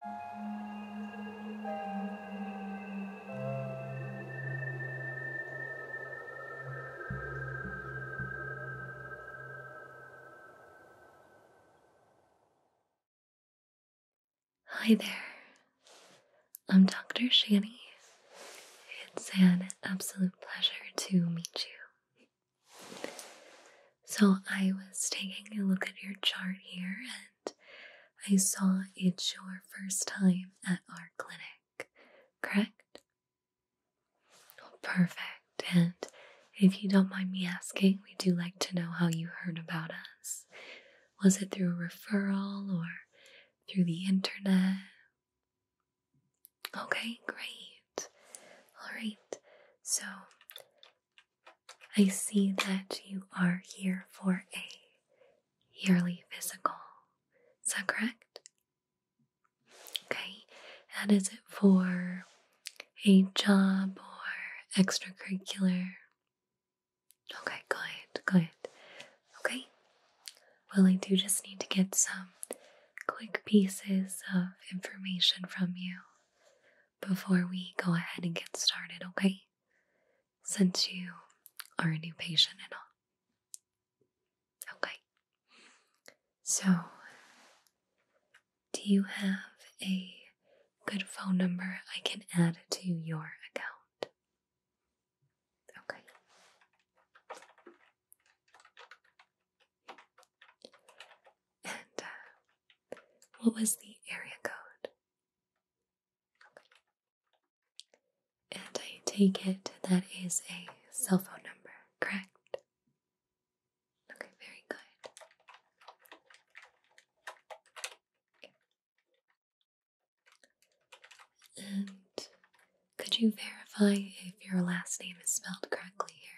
Hi there, I'm Dr. Shani. It's an absolute pleasure to meet you. So, I was taking a look at your chart here I saw it's your first time at our clinic, correct? perfect. And if you don't mind me asking, we do like to know how you heard about us. Was it through a referral or through the internet? Okay, great. All right, so I see that you are here for a yearly physical. Is that correct? Okay, and is it for a job or extracurricular? Okay, good, good. Okay, well, I do just need to get some quick pieces of information from you before we go ahead and get started, okay? Since you are a new patient and all. Okay. So, do you have a good phone number I can add to your account? Okay. And uh, what was the area code? And I take it that is a cell phone number, correct? Okay, very good. And could you verify if your last name is spelled correctly here?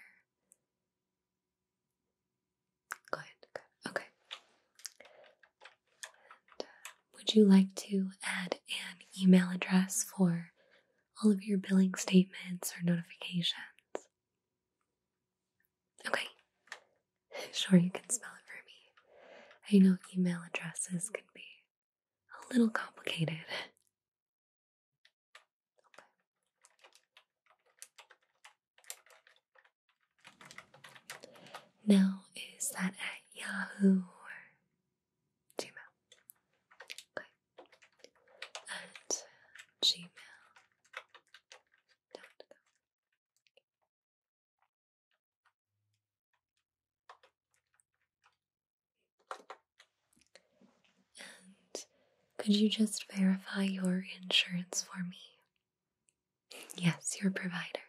Good, Okay. Uh, would you like to add an email address for all of your billing statements or notifications? Okay. Sure, you can spell it for me. I know email addresses can be a little complicated. Now is that at Yahoo or Gmail? At Gmail. could you just verify your insurance for me? Yes, your provider.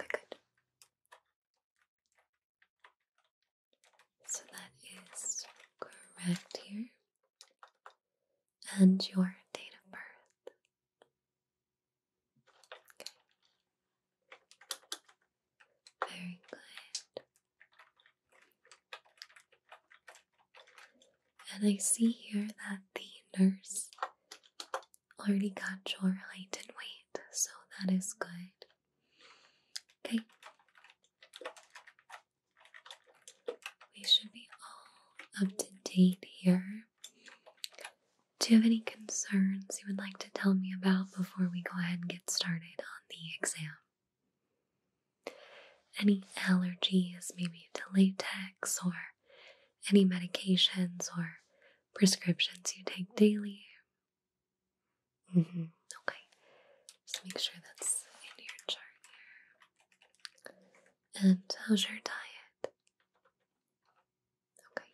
Okay, good. So that is correct here. And your date of birth. Okay. Very good. And I see here that the nurse already got your height and weight, so that is good. Okay. We should be all up to date here. Do you have any concerns you would like to tell me about before we go ahead and get started on the exam? any allergies, maybe to latex, or any medications or prescriptions you take daily. Mm -hmm. Okay, just make sure that's in your chart here. And how's your diet? Okay.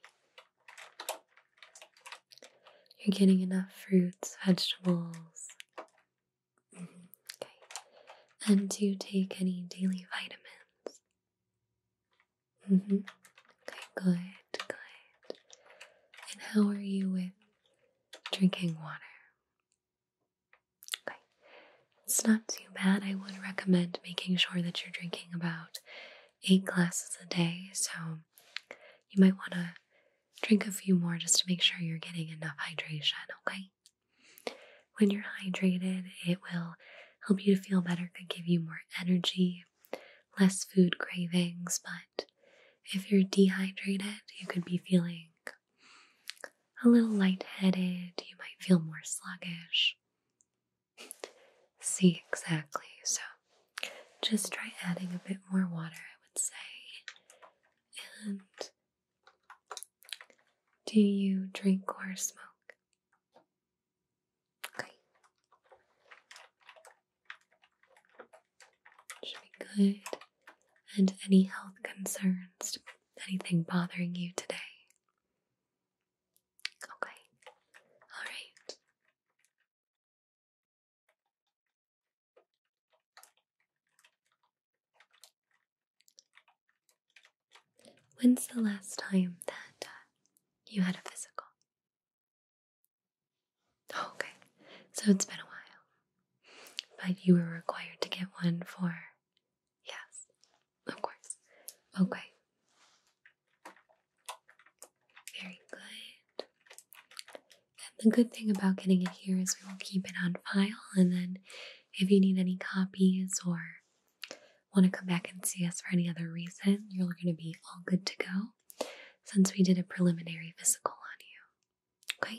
You're getting enough fruits, vegetables, Okay. And do you take any daily vitamins? Mm hmm. Okay, good, good. And how are you with drinking water? Okay. It's not too bad. I would recommend making sure that you're drinking about eight glasses a day. So you might want to drink a few more just to make sure you're getting enough hydration, okay? When you're hydrated, it will help you to feel better, could give you more energy, less food cravings. But if you're dehydrated, you could be feeling a little lightheaded, you might feel more sluggish. See, exactly. So just try adding a bit more water, I would say. And do you drink or smoke? Okay. Should be good. And any health concerns? Anything bothering you today? Okay. All right. When's the last time that uh, you had a physical? Oh, okay, so it's been a while. But you were required to get one for. Yes, of course. Okay. Very good. And the good thing about getting it here is we will keep it on file and then if you need any copies or want to come back and see us for any other reason, you're going to be all good to go since we did a preliminary physical on you.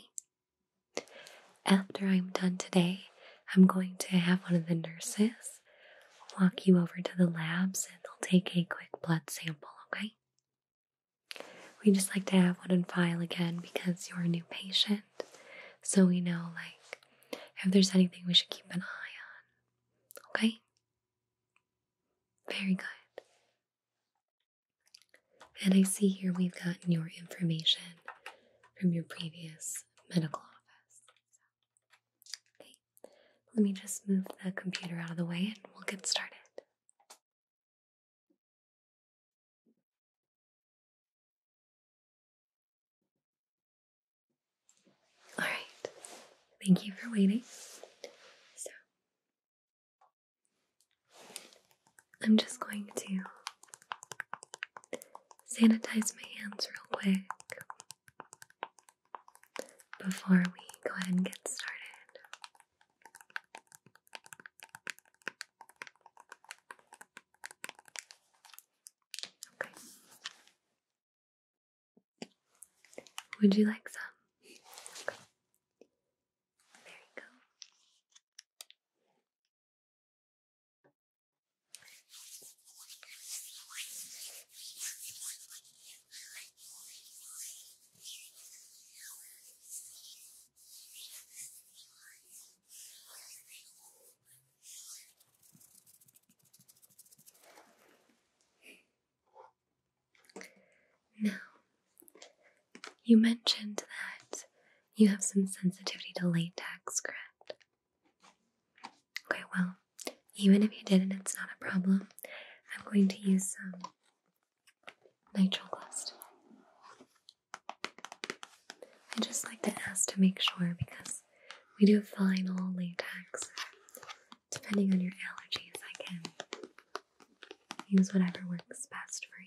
Okay? After I'm done today, I'm going to have one of the nurses walk you over to the labs and they'll take a quick blood sample, okay? We just like to have one in file again because you're a new patient so we know like if there's anything we should keep an eye on. Okay? Very good. And I see here we've gotten your information from your previous medical office. Okay, let me just move the computer out of the way and we'll get started. All right, thank you for waiting. So, I'm just going to sanitize my hands real quick before we go ahead and get started. Would you like some? There you go. Now, you mentioned that you have some sensitivity to latex, correct? Okay, well, even if you didn't, it's not a problem. I'm going to use some nitrile gloves. I just like to ask to make sure because we do final latex. Depending on your allergies, I can use whatever works best for you.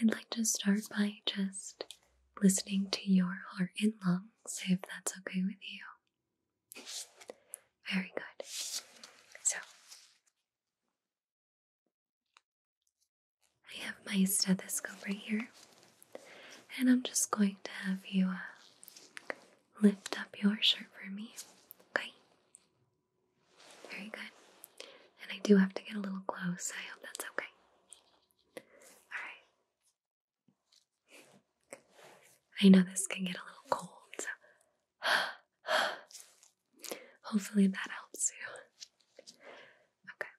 I'd like to start by just listening to your heart and lungs if that's okay with you. Very good. So, I have my stethoscope right here, and I'm just going to have you uh, lift up your shirt for me, okay? Very good. And I do have to get a little close. I hope that's okay. Alright. I know this can get a little cold, so hopefully that helps you. Okay.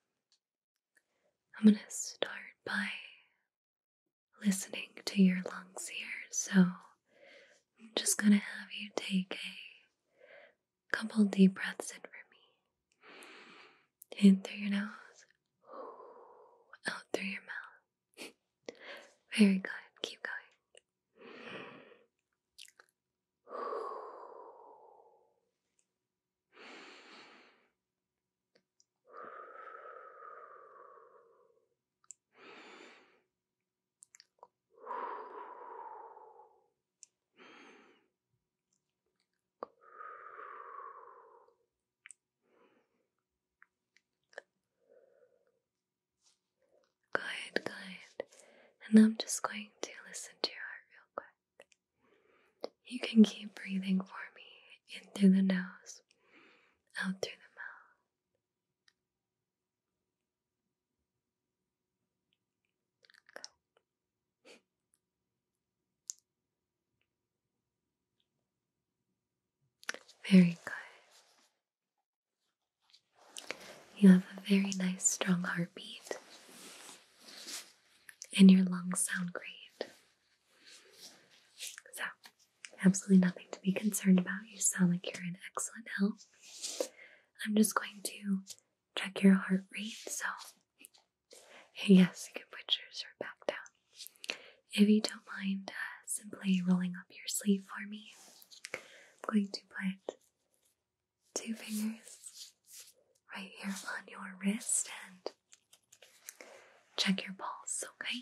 I'm going to start by listening to your lungs here. So I'm just going to have you take a couple deep breaths in for me. In through your nose, out through your mouth. Very good. Keep going. Good, good. And I'm just going to listen to your heart real quick. You can keep breathing for me in through the nose, out through the mouth very good. You have a very nice, strong heartbeat, and your lungs sound great. So, absolutely nothing to be concerned about. You sound like you're in excellent health. I'm just going to check your heart rate. So, yes, good can are back down. If you don't mind uh, simply rolling up your sleeve for me, I'm going to put two fingers right here on your wrist and check your pulse, okay?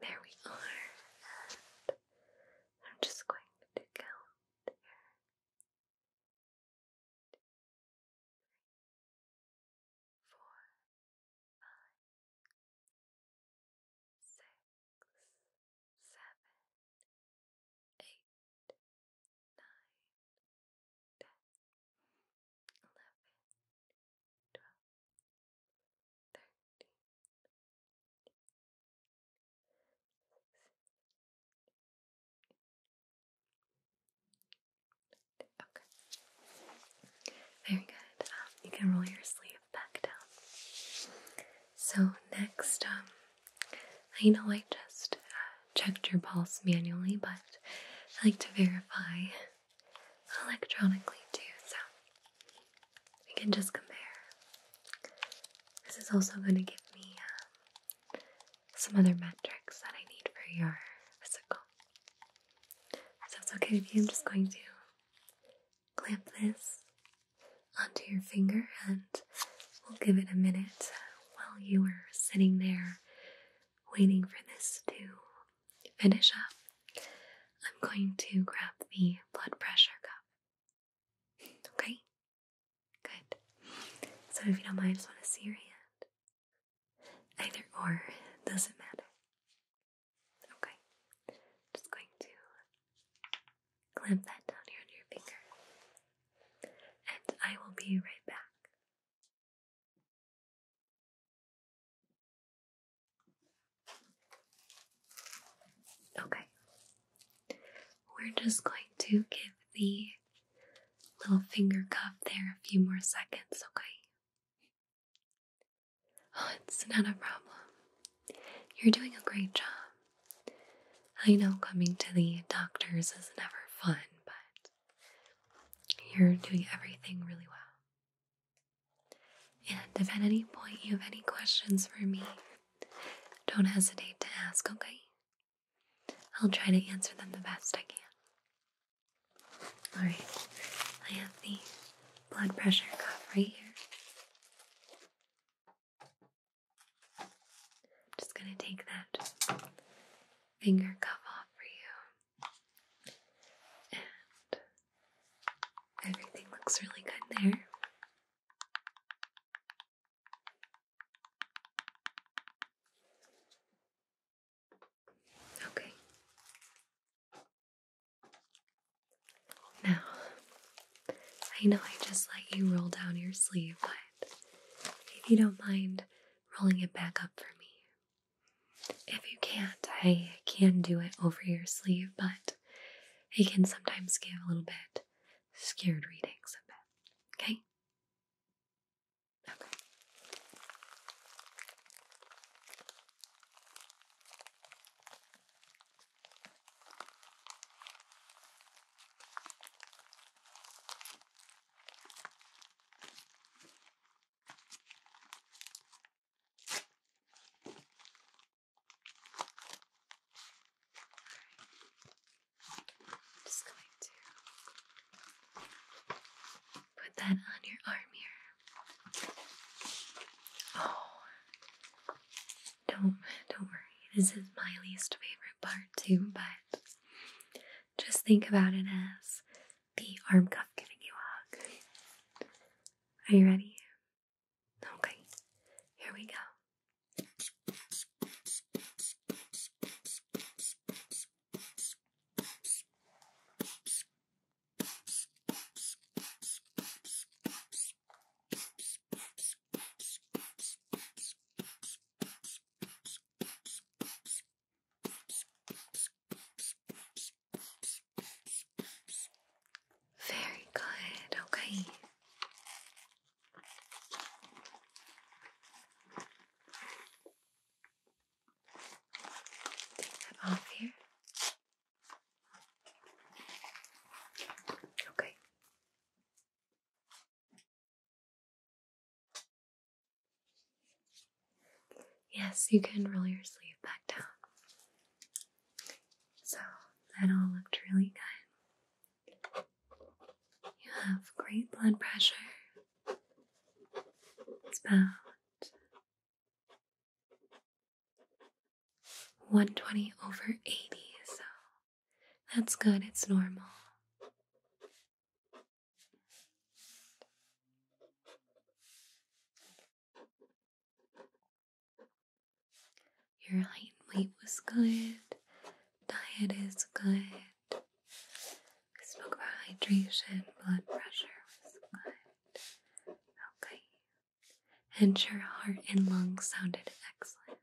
There we are. And I'm just going to count here. Four, five, six, seven, eight, nine, ten, very good. you can roll your sleeve back down. So, next, um, I know I just checked your pulse manually, but I like to verify electronically too, so we can just compare. This is also going to give me um, some other metrics that I need for your physical. So it's okay with you, I'm just going to clamp this onto your finger and we'll give it a minute while you are sitting there waiting for this to finish up, I'm going to grab the blood pressure cup. Okay? Good. So if you don't mind, I just want to see your hand. Either or doesn't matter. Okay. Just going to clamp that down here on your finger. And I will be right back. Okay, we're just going to give the little finger cuff there a few more seconds, okay? Oh, it's not a problem. You're doing a great job. I know coming to the doctors is never fun, but you're doing everything really well. And if at any point you have any questions for me, don't hesitate to ask, okay? I'll try to answer them the best I can. Alright, I have the blood pressure cuff right here. I'm just going to take that finger cuff off for you. And everything looks really good there. Okay. Now, I know I just let you roll down your sleeve, but if you don't mind rolling it back up for me, if you can't, I can do it over your sleeve, but it can sometimes give a little bit scared readings a bit. Okay? Okay. I'm just going to put that on your arm here. Oh, don't don't worry. This is my least favorite part too, but just think about it as the arm cuff giving you a hug. Are you ready? Okay, here we go. Very good, okay. Take that off here. Okay. Yes, you can roll your sleeve back down. So that all looked really good. You have great blood pressure. It's about 120 over 80, so that's good, it's normal. Your height and weight was good. Diet is good. We spoke about hydration, blood pressure was good. Okay. And your heart and lungs sounded excellent.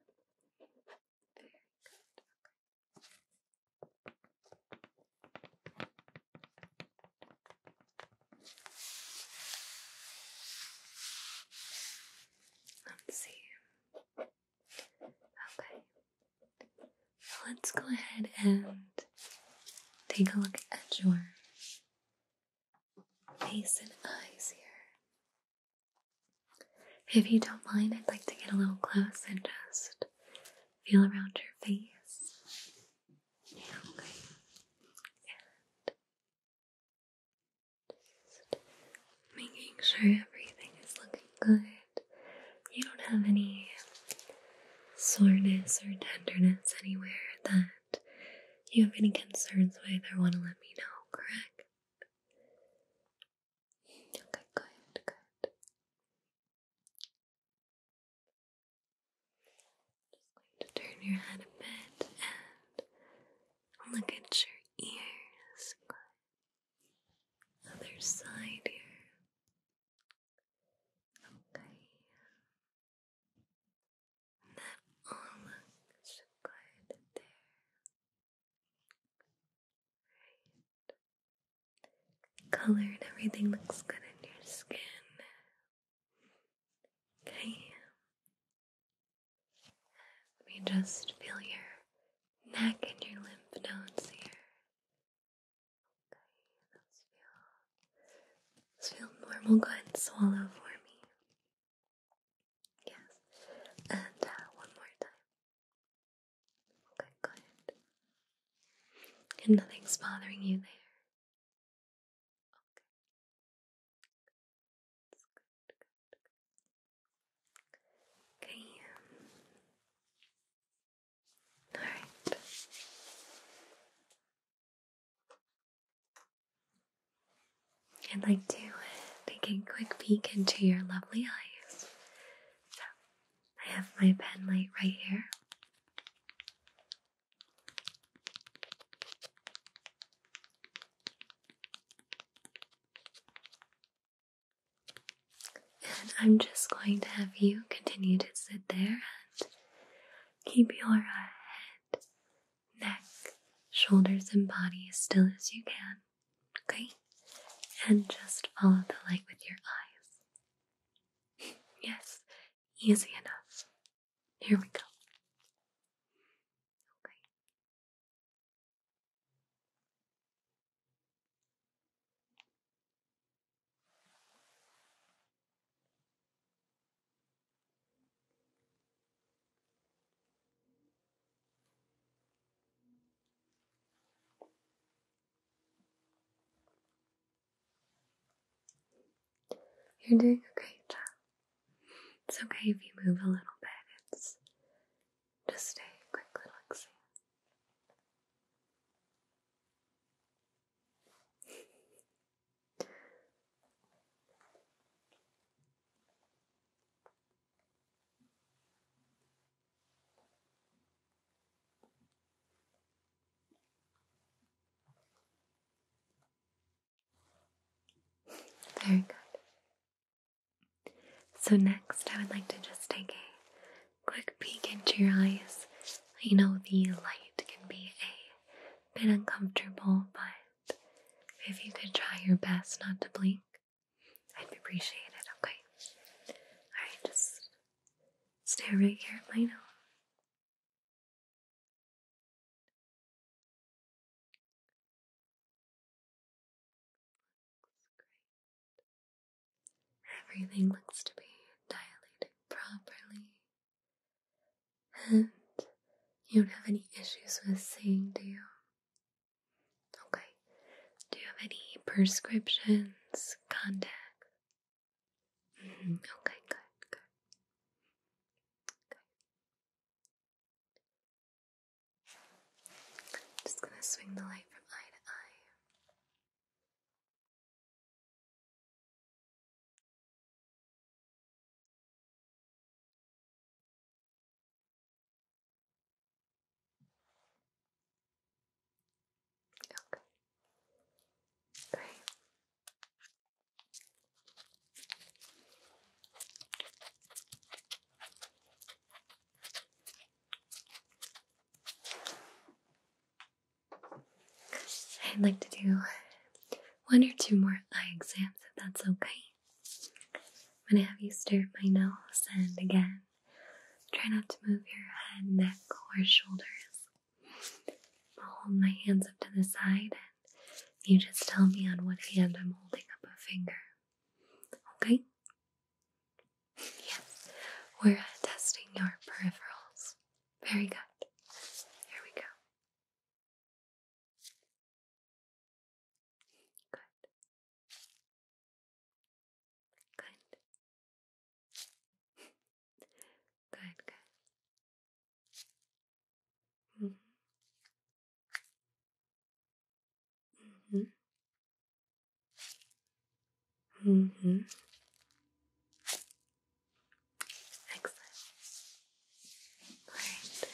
Very good. Okay. Let's see. Okay. Let's go ahead and take a look at your face and eyes here. If you don't mind, I'd like to get a little close and just feel around your face making sure everything is looking good. You don't have any soreness or tenderness anywhere that you have any concerns with or want to let me know, correct? Okay, good, good. Just going to turn your head a bit and look at your ears. Other side here. Okay. that all looks good there. Right. Color and everything looks good in your skin. Okay. Let me just feel your neck and your lymph nodes here. Okay, those feel, those feel normal. Go ahead and swallow for me. Yes. And uh, one more time. Okay, good. And nothing's bothering you there. Okay. All right. I'd like to take a quick peek into your lovely eyes. So, I have my pen light right here. And I'm just going to have you continue to sit there and keep your head, neck, shoulders, and body as still as you can. Okay? And just follow the light with your eyes. yes, easy enough. Here we go. You're doing a great job. It's okay if you move a little bit. It's just a quick little exam. Very good. So, next, I would like to just take a quick peek into your eyes. You know, the light can be a bit uncomfortable, but if you could try your best not to blink, I'd appreciate it, okay? Alright, just stare right here at Everything looks to be dilated properly. And you don't have any issues with seeing, do you? Okay. Do you have any prescriptions, contacts, Mm, okay, good, good. Just gonna swing the light from eye to eye. Okay. Great. I'd like to do one or two more eye exams if that's okay. I'm gonna have you stare at my nose and again, try not to move your head, neck, or shoulders. I'll hold my hands up to the side and you just tell me on what hand I'm holding up a finger. Okay? Yes, we're testing your peripherals. Very good. Here we go. Good. Good. Good, good. Mm hmm. Mm hmm. Mm hmm. Excellent. Great.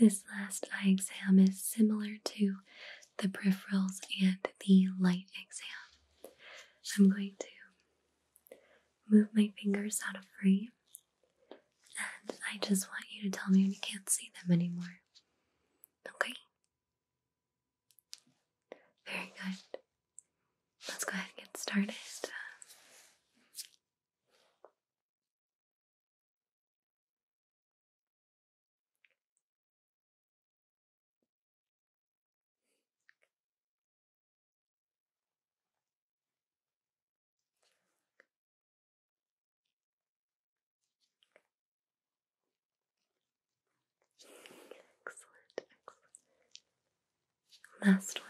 This last eye exam is similar to the peripherals and the light exam. I'm going to move my fingers out of frame, and I just want you to tell me when you can't see them anymore. Okay? Very good. Let's go ahead and get started. Excellent, excellent. Last one.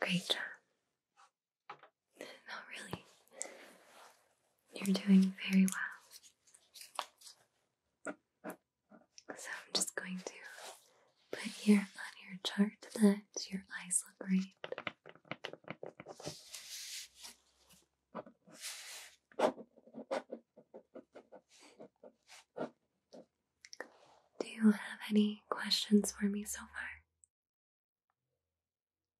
Great job. Not really. You're doing very well. So I'm just going to put here on your chart that your eyes look great. Do you have any questions for me so far?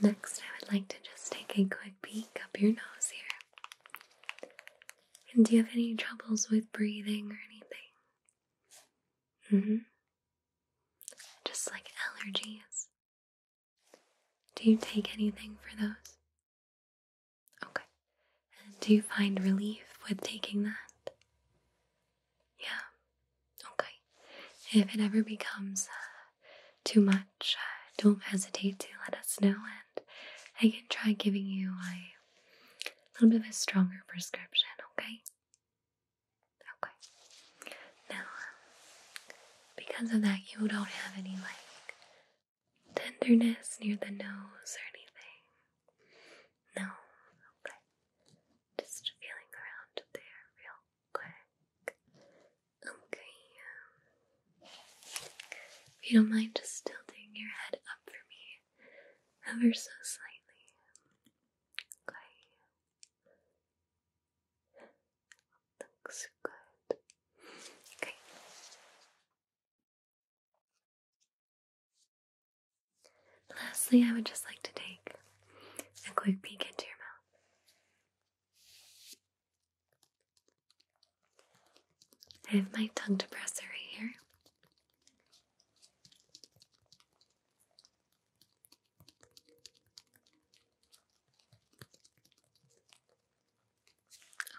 Next, I would like to just take a quick peek up your nose here. And do you have any troubles with breathing or anything? Mm hmm. Just like allergies. Do you take anything for those? Okay. And do you find relief with taking that? Yeah. Okay. If it ever becomes uh, too much, don't hesitate to let us know, and I can try giving you a little bit of a stronger prescription, okay? Okay. Now, um, because of that, you don't have any like tenderness near the nose or anything. No, okay. Just feeling around there real quick. Okay. Um, if you don't mind just tilting your head up for me ever so slightly. Okay. Looks good. Okay. Lastly, I would just like to take a quick peek into your mouth. I have my tongue depressor right here.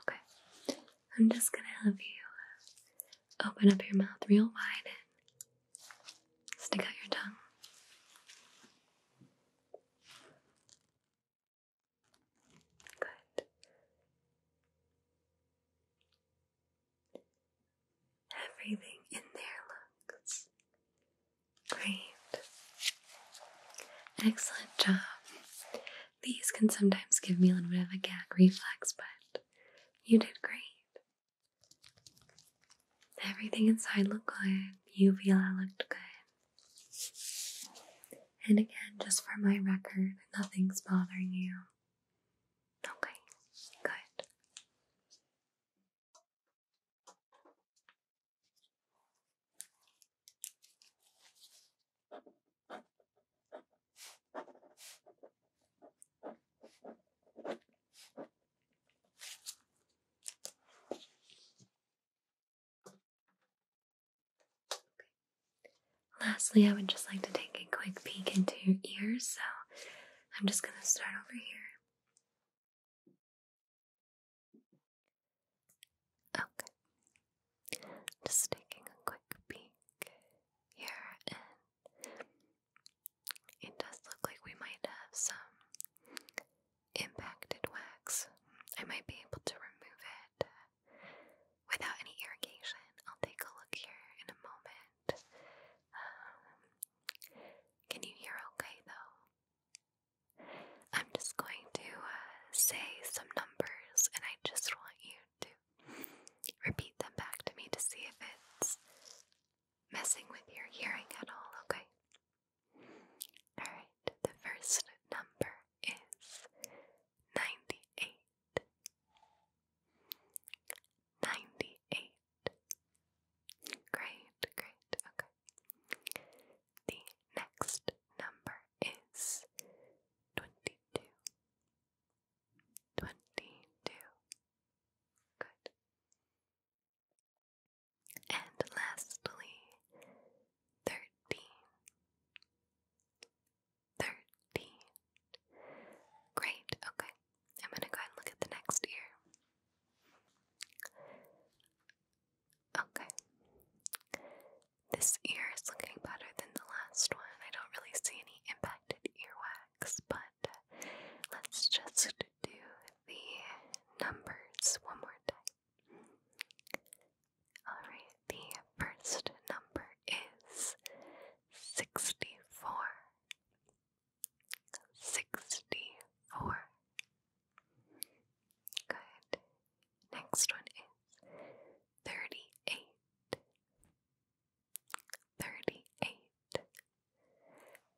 Okay, I'm just gonna have you open up your mouth real wide and stick out your tongue. Good. Everything in there looks great. Excellent job. These can sometimes give me a little bit of a gag reflex, but you did great. Everything inside looked good. Uvula looked good. And again, just for my record, nothing's bothering you. Okay, good. Lastly, I would just like to take a quick peek into your ears, so I'm just going to start over here. Okay. Just taking a quick peek here, and it does look like we might have some impacted wax. I might be able to remove it uh, without any irrigation. I'll take a look here in a moment. Um, can you hear okay though? I'm just going to uh, say some numbers and I just want you to repeat them back to me to see if it's messing with your hearing at all, okay? Alright, the first number is 98. 98. Great, great, okay. The next number is 22. 22. Good. And lastly, thirteen. Great, okay. I'm gonna go ahead and look at the next ear. Okay. This ear is looking better than the last one. I don't really see any impacted earwax, but uh, let's just do the numbers one more time. Alright, the first number is 64. 64. Good. Next one is 38. 38.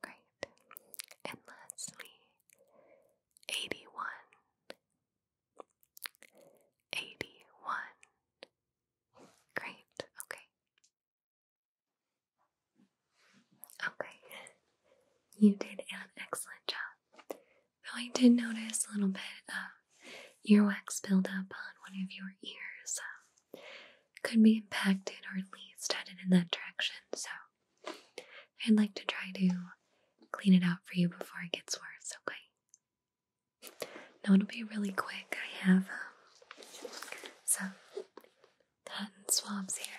Great. And lastly, eighty one, eighty one. Great, okay. Okay, you did an excellent job. Though I did notice a little bit of earwax buildup on one of your ears. Um, could be impacted or at least headed in that direction, so I'd like to try to clean it out for you before it gets worse, okay? Now it'll be really quick. I have um, some cotton swabs here.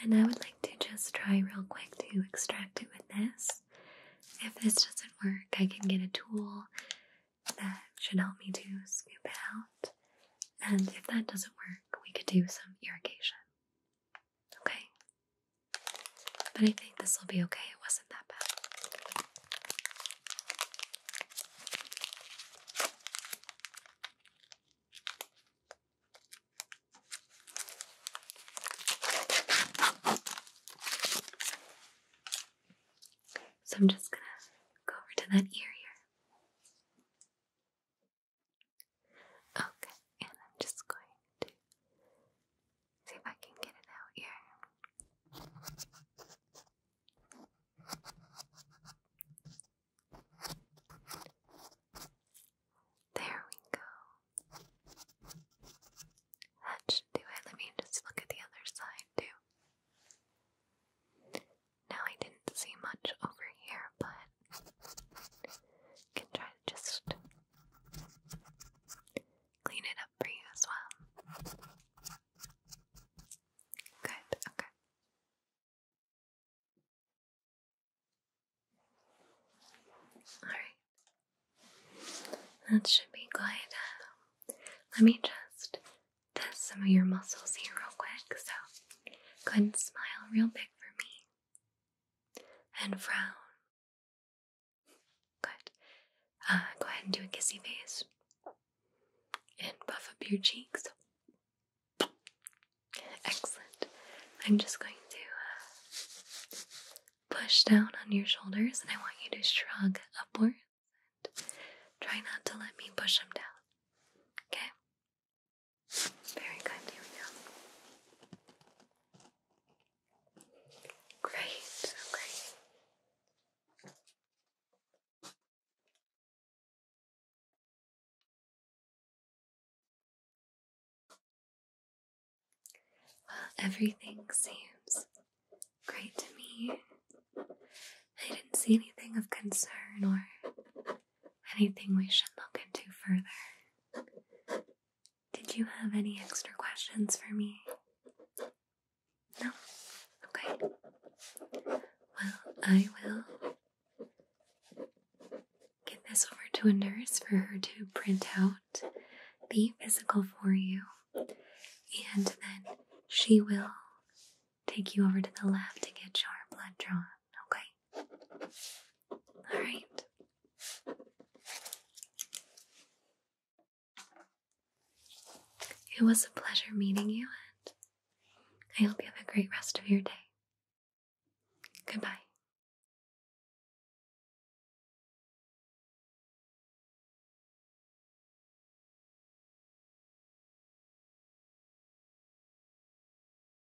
And I would like to just try real quick to extract it with this. If this doesn't work, I can get a tool that should help me to scoop it out. And if that doesn't work, we could do some irrigation. Okay? But I think this will be okay. It wasn't that bad. So I'm just going to go over to that ear here. Okay, and I'm just going to see if I can get it out here. There we go. That should do it. Let me just look at the other side too. Now I didn't see much over here, but can try to just clean it up for you as well. Good, okay. Alright. That should be good. let me just test some of your muscles here real quick. So go ahead and smile real big for me and frown. Good. Uh, go ahead and do a kissy face and puff up your cheeks. Excellent. I'm just going to uh, push down on your shoulders and I want you to shrug upwards. try not to let me push them down. Okay? Very good, here Great, great. Well, everything seems great to me. I didn't see anything of concern or anything we should look into further. Did you have any extra questions for me? No? Okay. Well, I will get this over to a nurse for her to print out the physical for you, and then she will take you over to the lab to get your blood drawn, okay? All right. It was a pleasure meeting you, and I hope you have a great rest of your day. Goodbye.